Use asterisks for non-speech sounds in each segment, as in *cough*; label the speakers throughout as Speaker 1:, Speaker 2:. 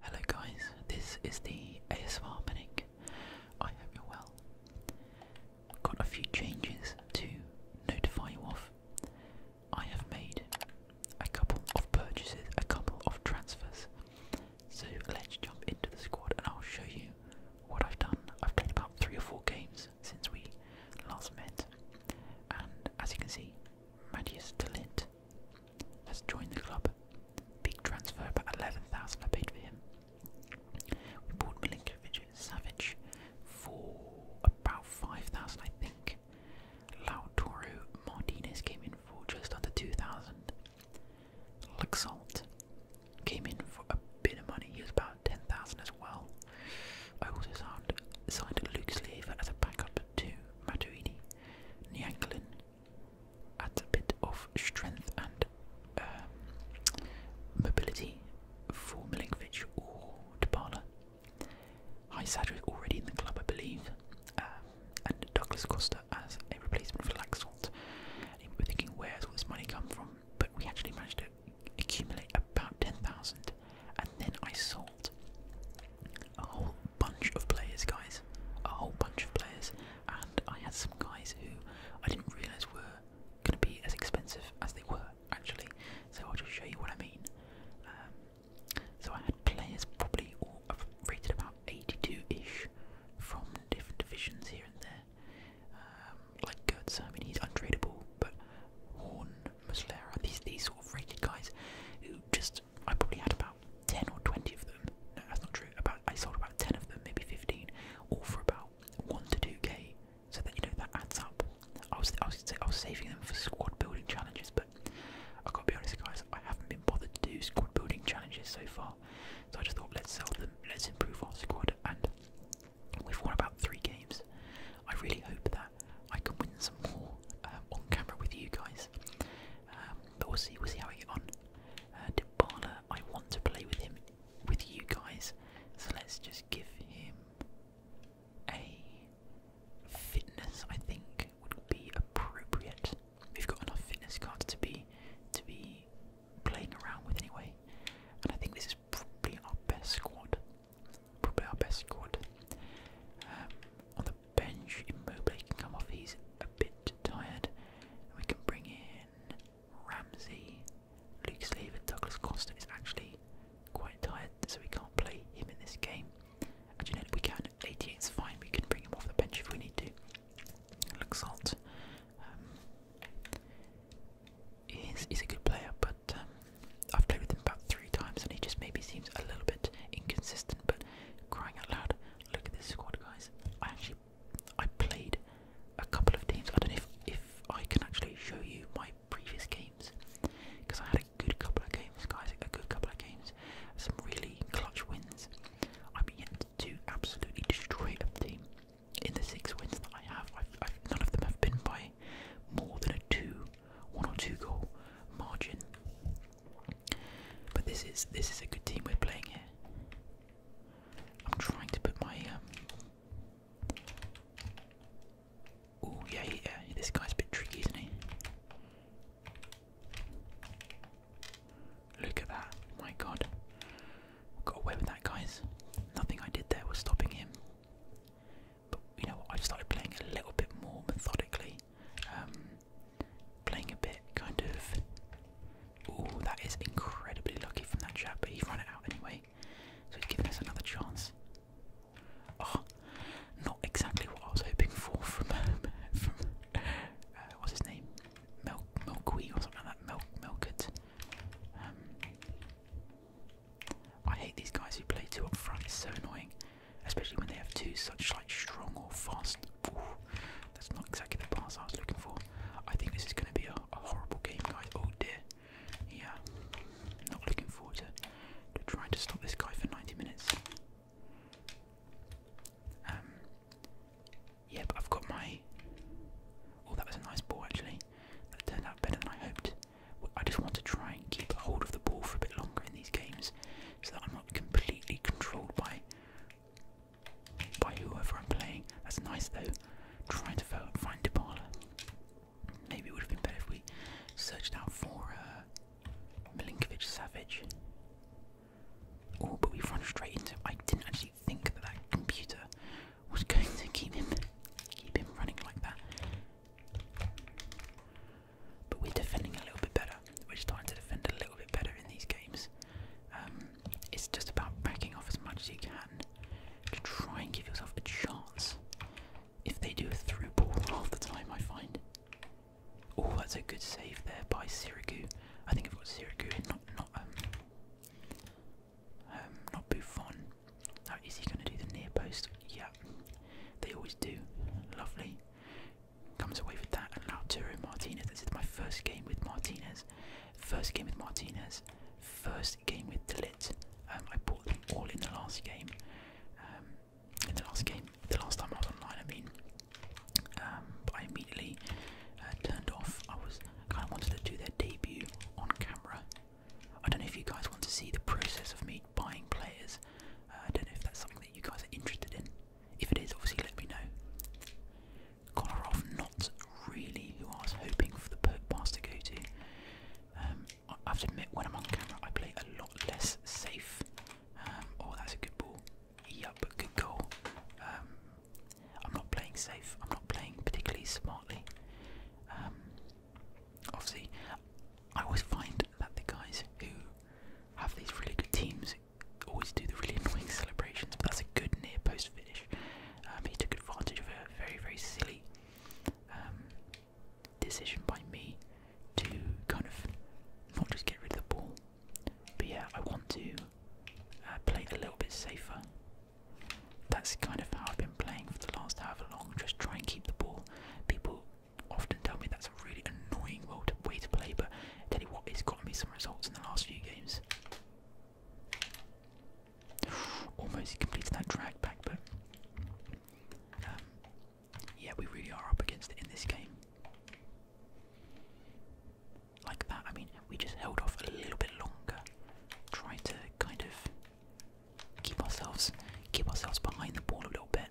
Speaker 1: Hello guys, this is the ASMR Manic. I hope you're well. Got a few changes to notify you of. I have made a couple of purchases, a couple of transfers. So let's jump into the squad and I'll show you what I've done. I've played about three or four games since we last met. And as you can see, Mattias Delint Let's join the club. Big transfer, but 11,000 I paid for him. We bought Milinkovic Savage for about 5,000 I think. Lautaro Martinez came in for just under 2,000. Luxalt came in for a bit of money, he was about 10,000 as well. I also signed, signed Luke Slaver as a backup to Matuidi, Nyanklin, adds a bit of strength and um, mobility for Milinkovic or Dybala. Hysader is already in the club, I believe, um, and Douglas Costa as a replacement for Laxalt. And we were thinking, where's all this money come from? But we actually managed to accumulate about 10,000, and then I sold a whole bunch of players, guys. A whole bunch of players, and I had some guys who I didn't realise were going to be as expensive as they were actually. So I'll just show you what I mean. Um, so I had players probably all rated about 82-ish from different divisions here and there. Um, like Gertz, I mean he's untradeable, but Horn, Muslera, these these sort of rated guys who just I probably had about 10 or 20 of them. No, that's not true. About I sold about 10 of them, maybe 15, all for about 1 to 2k. So that you know that adds up. I was I was saving them for squad building challenges, but I gotta be honest, guys, I haven't been bothered to do squad building challenges so far. So I just thought, let's sell them, let's improve our squad, and we've won about three games. I really hope that I can win some more um, on camera with you guys. Um, but we'll see. We'll see how we get on. Uh, I want to play with him, with you guys. So let's just give him a fitness. I think would be appropriate. We've got enough fitness cards to be to be playing around with anyway. And I think this is probably our best squad. Probably our best squad. Um, on the bench. Immobile can come off. He's a bit tired. we can bring in Ramsey. Luke Slaver, Douglas Costa is actually quite tired, so we can't play him in this game. Actually, no, we can. 88 is fine. We can bring him off the bench if we need to. Luxalt um, is is a good player, but um, I've played with him about three times, and he just maybe seems a little bit inconsistent. But crying out loud, Look at this squad, guys. I actually I played a couple of teams. I don't know if if I can actually show you my previous games because I had a good couple of games, guys. A good couple of games, some really clutch wins. I mean, yet to absolutely destroy a team. In the six wins that I've, I've, none of them have been by more than a two, one or two goal margin. But this is this is a good team we're playing here. I'm trying to put my Oh yeah, yeah. This guy's a bit tricky, isn't he? Look at that! My God, got away with that, guys. Nothing I did there was stopping him. But you know i started playing a little bit more methodically. Um, playing a bit kind of. Oh, that is incredibly lucky from that chap, but he ran it out anyway, so he's given us another chance. Oh, not exactly what I was hoping for from *laughs* from uh, what's his name, Milk Milkweed or something like that. Milk Milkert. Um, I hate these guys who play two up front. It's so annoying, especially when they have two such like strong or fast that's not exactly the pass I was looking for. I think this is going to be a, horrible game, guys. Oh dear. Yeah, not looking forward to, trying to stop this guy for 90 minutes. Um, yeah, I've got my. Oh, that was a nice ball actually. That turned out better than I hoped. I just want to try and keep hold of the ball for a bit longer in these games, so that I'm not completely controlled by by whoever I'm playing. That's nice though. Trying to find Dybala. Maybe it would have been better if we searched out for uh, Milinkovic Savage. Oh, but we've run straight into. I didn't actually think that that computer was *laughs* going to keep him, keep him running like that. But we're defending a little bit better. We're just trying to defend a little bit better in these games. Um, it's just about backing off as much as you can to try and give yourself a chance. If they do a through ball *laughs* half the time, I find. Oh, that's a good save there by Sirigu. I think I've got Sirigu and not not um, um not Buffon. is he going to do the near post? Yeah, they always do. Lovely comes away with that. And Lautaro Martinez, this is my first game with Martinez. First game with Martinez. First game with Delit. Um, I bought them all in the last game. Um, in the last game, the last time I was online, I mean, um, I immediately uh, turned off. I was kind of wanted to do their debut on camera. I don't know if you guys want to see the process of me buying players. Uh, I don't know if that's something that you guys are interested in. If it is, obviously let me know. Kolarov, not really who I was hoping for the pass to go to. Um, I have to admit, when I'm on camera, I play a lot less safe. Um, oh, that's a good ball. Yup, good goal. Um, I'm not playing safe. I'm not playing particularly smartly. obviously, I always find that the guys who have these really good teams always do the really annoying celebrations, but that's a good near post finish. Um, he took advantage of a very, very silly um, decision by me to kind of not just get rid of the ball, but yeah, I want to uh, play a little bit safer. That's kind of how I've been playing for the last half a long, just try and keep the ball. People often tell me that's a really annoying way to play, but Tell you what, it's got me some results in the last few games. *sighs* Almost completed that drag back, but um, yeah, we really are up against it in this game. Like that, I mean, we just held off a little bit longer, tried to kind of keep ourselves, keep ourselves behind the ball a little bit.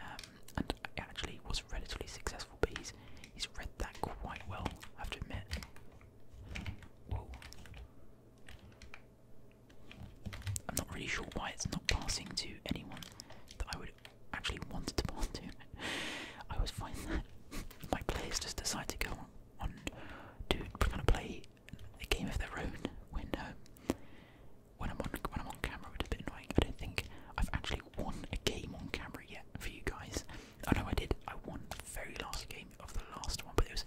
Speaker 1: Um, and actually was relatively successful. But he's he's read that quite well, I have to admit. I'm not really sure why it's not passing to anyone that I would actually want to pass to. *laughs* I always find that *laughs* my players just decide to go on, on to kind of play a game of their own when um, when I'm on when I'm on camera, which a bit annoying. I don't think I've actually won a game on camera remember it for you guys. Oh no, I did. I won the very last game of the last one, but it was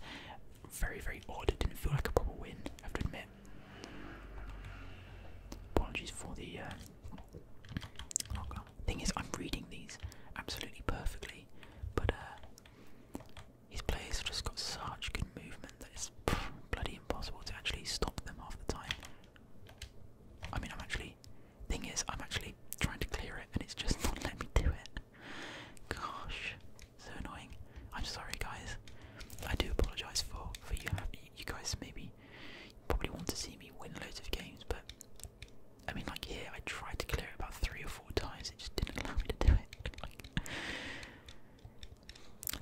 Speaker 1: very, very odd. It didn't feel like a proper win, I have to admit. Apologies for the. Uh, Thing is, I'm reading these absolutely perfectly, but uh, these players have just got such good movement that it's *laughs* bloody impossible to actually stop them half the time. I mean, I'm actually Thing is, I'm actually trying to clear it and it's just *laughs* not letting me do it. Gosh, so annoying. I'm sorry, guys. I do apologise for for you. You guys maybe probably want to see me win loads of games, but I mean, like here, I tried to clear it about three or four times. It just didn't allow me to do it.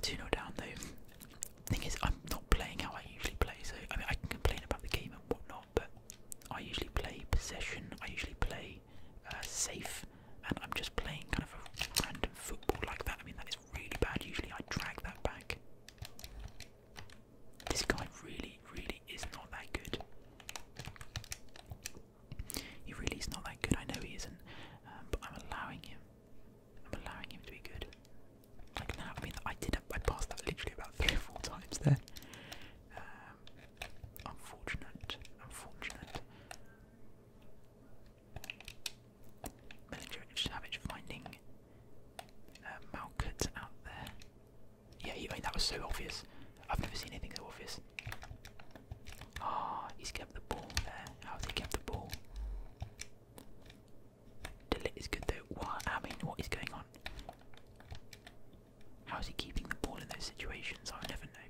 Speaker 1: *laughs* 2 0 down though thing is, I'm not playing how I usually play, so I mean, I can complain about the game and whatnot, but I usually play possession, I usually play uh, safe, and I'm just playing kind of a random football like that. I mean, that is really bad. Usually, I drag that back. This guy really, really is not that good. He really is not that good. I know he isn't, um, but I'm allowing him. I'm allowing him to be good. Like now, I mean, I did. I passed that literally about three or four times there. Um, unfortunate, unfortunate. Manager Savage finding uh, Malkut out there. Yeah, you mean that was so obvious. I've never seen anything so obvious. Ah, he's kept the ball there. How's he kept the ball? Delete is good though. What? I mean, what is going on? How is he keeping the ball in those situations? i never know.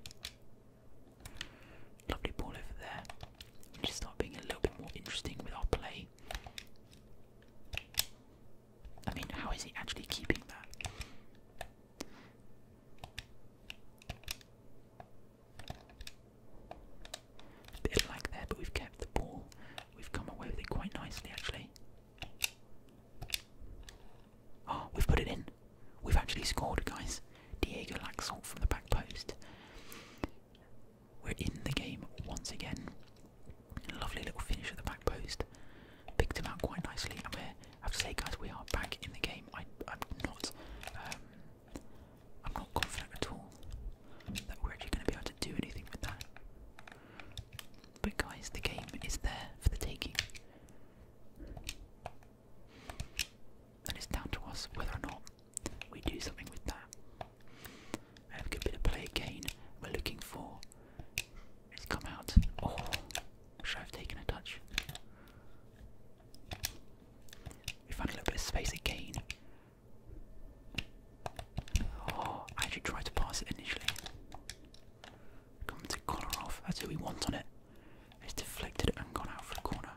Speaker 1: Lovely ball over there. We need start being a little bit more interesting with our play. I mean, how is he actually keeping that? Bit of there, but we've kept the ball. We've come away with it quite nicely, actually. Oh, we've put it in. We've actually scored, guys. Diego Laxalt from the back post. We're in the game once again. Lovely little finish at the back post. Picked him out quite nicely. And we I have to say, guys, we are back in the game. I, am not. Um, I'm not confident at all that we're actually going to be able to do anything with that. But guys, the game is there for the taking. And it's down to us whether or not we do something with that. have a good bit of play again we're looking for. It's come out. Oh, should I have taken a touch? We found a little bit of space again. Oh, I actually tried to pass it initially. Come to corner off. That's who we want on it. It's deflected and gone out for the corner.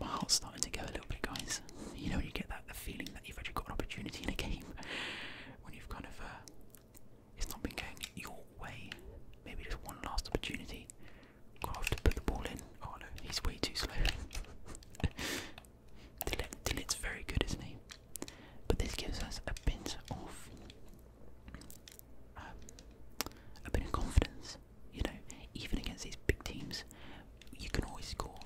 Speaker 1: My heart's starting to go a little bit, guys. You know, you get that the feeling that you've actually got an opportunity in a game *laughs* when you've kind of uh, it's not been going your way. Maybe just one last opportunity. Got to put the ball in. Oh no, he's way too slow. *laughs* it's very good, isn't he? But this gives us a bit of um, a bit of confidence. You know, even against these big teams, you can always score.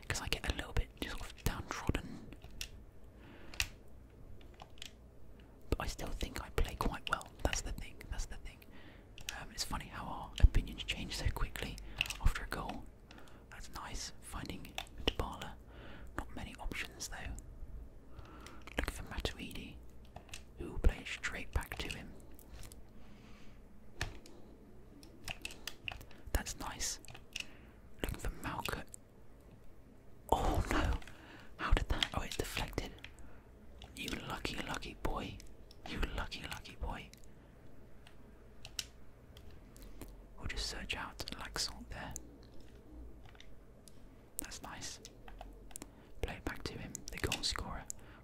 Speaker 1: Because I get a little bit just sort of downtrodden, but I still think I play quite well. That's the thing. That's the thing. Um, it's funny how our opinions change so quickly after a goal. That's nice. Finding Tabala. Not many options though. Looking for Matuidi, who will play straight back to him. That's nice. Looking for Malka. Oh no! How did that? Oh, it's deflected. You lucky, lucky boy. You lucky, lucky boy. We'll just search out like Laxalt there. That's nice. Play it back to him, the goal scorer.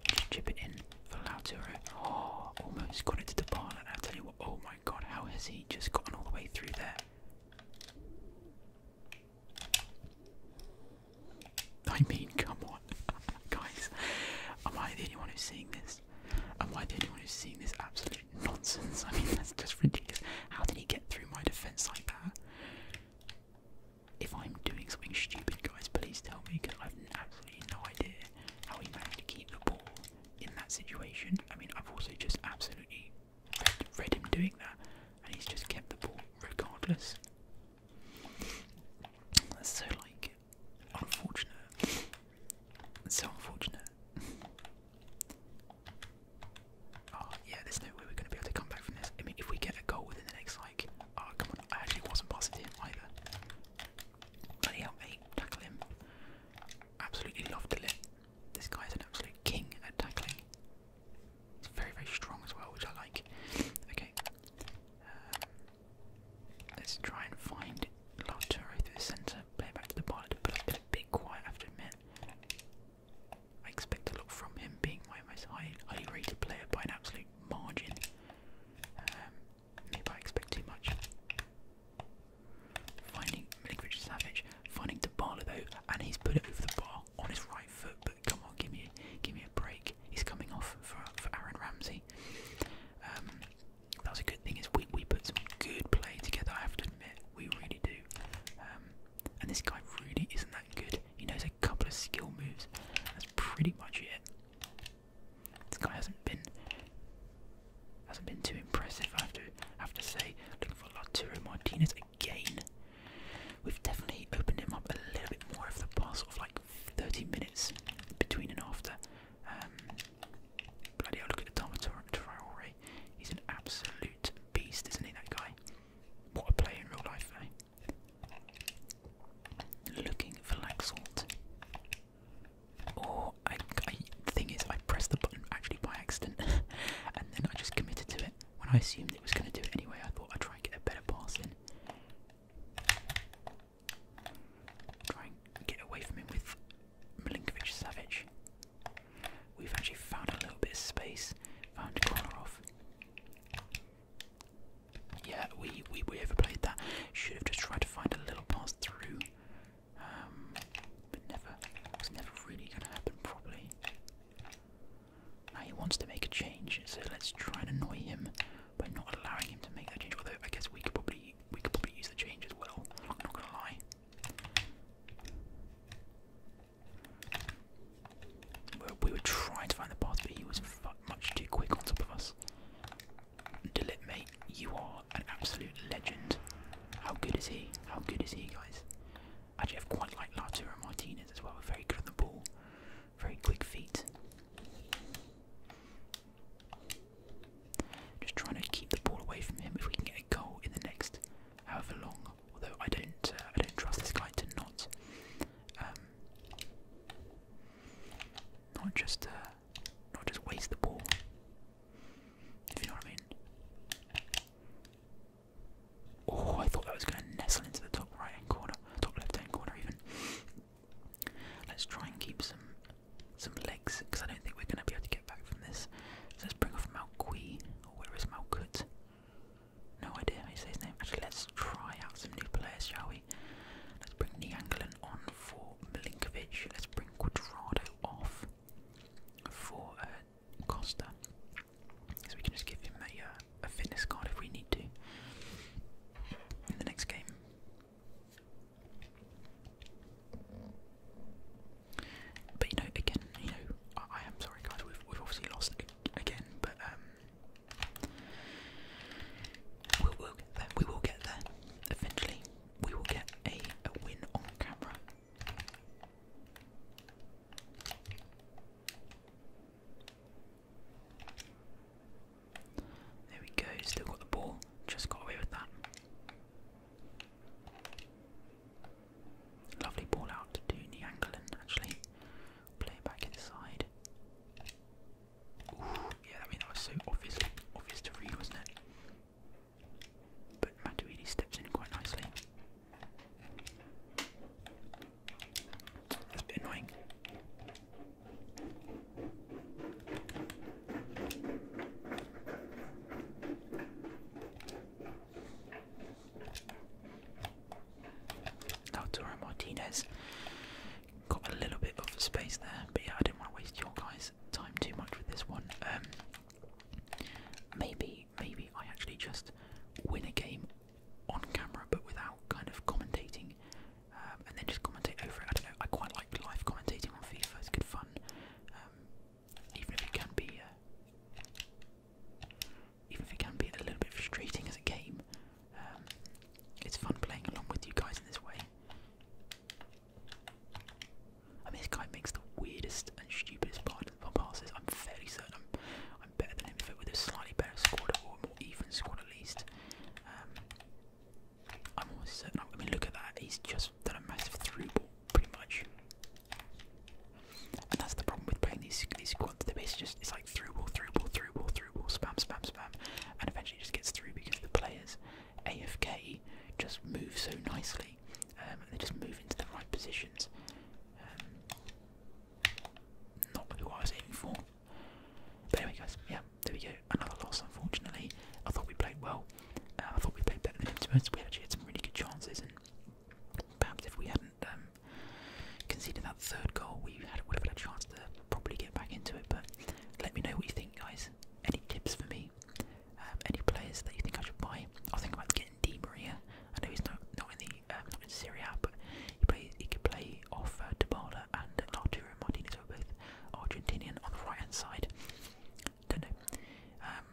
Speaker 1: just chip it in for Lautaro. Oh, almost got it to Dybala. And i tell you what, oh my god, how has he just gotten all the way through there? *laughs* I mean, come on, *laughs* guys. Am I the only one who's seeing this? And why the only one who's seeing this absolute nonsense? I mean, that's just ridiculous. How did he get through my defense like that? If I'm doing something stupid, guys, please tell me because I've absolutely no idea how he managed to keep the ball in that situation. I mean, I've also just absolutely read, him doing that, and he's just kept the ball regardless. That's so like unfortunate. so unfortunate. *laughs* oh yeah, there's no way we're gonna be able to come back from this. I mean, if we get a goal within the next like, oh come on, I actually wasn't passing him either. Bloody hell, tackle him. Absolutely love to live. This guy's an absolute king at tackling. He's very, very strong as well, which I like. Okay. Uh, let's try and find Large Torre through the centre, play back to the pilot, but I've a bit quiet, I have to admit. I expect a lot from him, being my most highly rated player by an absolute margin. Um, maybe I expect too much. Finding Milinkovic Savage, finding Dybala though, and he's put it over the bar on his right foot. But come on, give me, give me a break. He's coming off for for Aaron Ramsey. Um, that was a good thing is we, we put some good play together, I have to admit, we really do. Um, and this guy really isn't that good. He knows a couple of skill moves. That's pretty much it. This guy hasn't been hasn't been too impressive, I have to have to say. Looking for Laturo Martinez again. We've definitely opened him up a little bit more over the past of like 30 minutes between and after. Um, Bloody look at the Dharma Traore. He's an absolute beast, isn't he, that guy? What a play in real life, eh? Looking for Laxalt. Or, I, the thing is, I pressed the button actually by accident, *laughs* and then I just committed to it. When I assumed it was going to do it anyway, I thought I'd try and get a better pass in. Try get away from him with Milinkovic Savic. We've actually found a little bit of space, found a corner off. Yeah, we, we, we overplayed that. Should have just tried to find a little pass through. Um, but never, it's never really going to happen properly. Now he wants to make a change, so let's try and annoy him by not allowing him to make that change. Although I guess we could probably we could probably use the change as well. not gonna lie. We were trying to find the path, but he was much too quick on top of us. Dilip, mate, you are an absolute legend. How good is he? How good is he, guys? Actually, I've quite liked Latura Martinez as well. Very good on the ball, very quick feet. Just trying to keep the ball away from him. If we can get a goal in the next however long, although I don't, uh, I don't trust this guy to not, um, not just, uh, not just waste the ball. If you know what I mean. Oh, I thought that was going to nestle into the top right hand corner, top left hand corner even. Let's try and keep some some legs, because I don't think we're going to be able to get back from this. let's bring off Malqui, or oh, where is Malkut? No idea how say his name. Actually, let's try out some new players, shall we? Let's bring Nianglin on for Milinkovic. Let's bring Quadrado off for uh, Costa. So we can just give him uh, a fitness card if we need to in the next game. But you know, again, you know, I, am sorry, guys. We've we've obviously lost again, but um, we'll, get there. We will get there eventually. We will get a win on camera. There we go. Still got the ball. Just got away with that. Lovely ball out to Niangalin actually. Play it back inside. Ooh, yeah, I mean that was so obvious, obvious to read, wasn't it? But Matuidi steps in quite nicely. That's a bit annoying. Lautaro Martinez got a little bit of space there, but yeah, I didn't want to waste your guys' time too much with this one. Um, maybe, maybe I actually just win a game on camera, but without kind of commentating, um, and then just commentate over it. I don't know. I quite like live commentating on FIFA; it's good fun. Um, even if it can be, uh, even if it can be a little bit frustrating as a game, um, it's fun playing along with you guys in this way. I mean, this guy makes the weirdest and stupidest part of passes. I'm fairly certain I'm, better than him if it with a slightly better squad or a more even squad at least. Um, I'm almost certain. I mean, look at that. He's just done a massive through ball, pretty much. And that's the problem with playing these these squads. It's just it's like through ball, through ball, through ball, through ball, spam, spam, spam, and eventually just gets through because the players AFK just move so nicely. and um, they just move into the right positions. Um, not who I was aiming for. But anyway, guys, yeah, there we go another loss, unfortunately. I thought we played well. Uh, I thought we played better than him. To be we actually had some really good chances, and perhaps if we hadn't um, conceded that third goal, we had, would have had a chance to probably get back into it. But let me know what you think, guys. Any tips for me? Um, any players that you think I should buy? I think about getting Di Maria. I know he's not not in the um, not in Serie but he plays. He could play off uh, and Arturo Martinez, who are both Argentinian on the right hand side. Don't know. Um,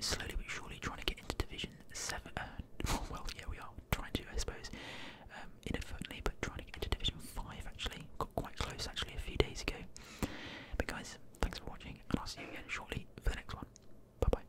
Speaker 1: slowly but surely trying to get into Division 7. Uh, *laughs* well, yeah, we are trying to, I suppose, um, inadvertently, but trying to get into Division 5 actually. Got quite close actually a few days ago. But guys, thanks for watching, and I'll see you again shortly for the next one. Bye bye.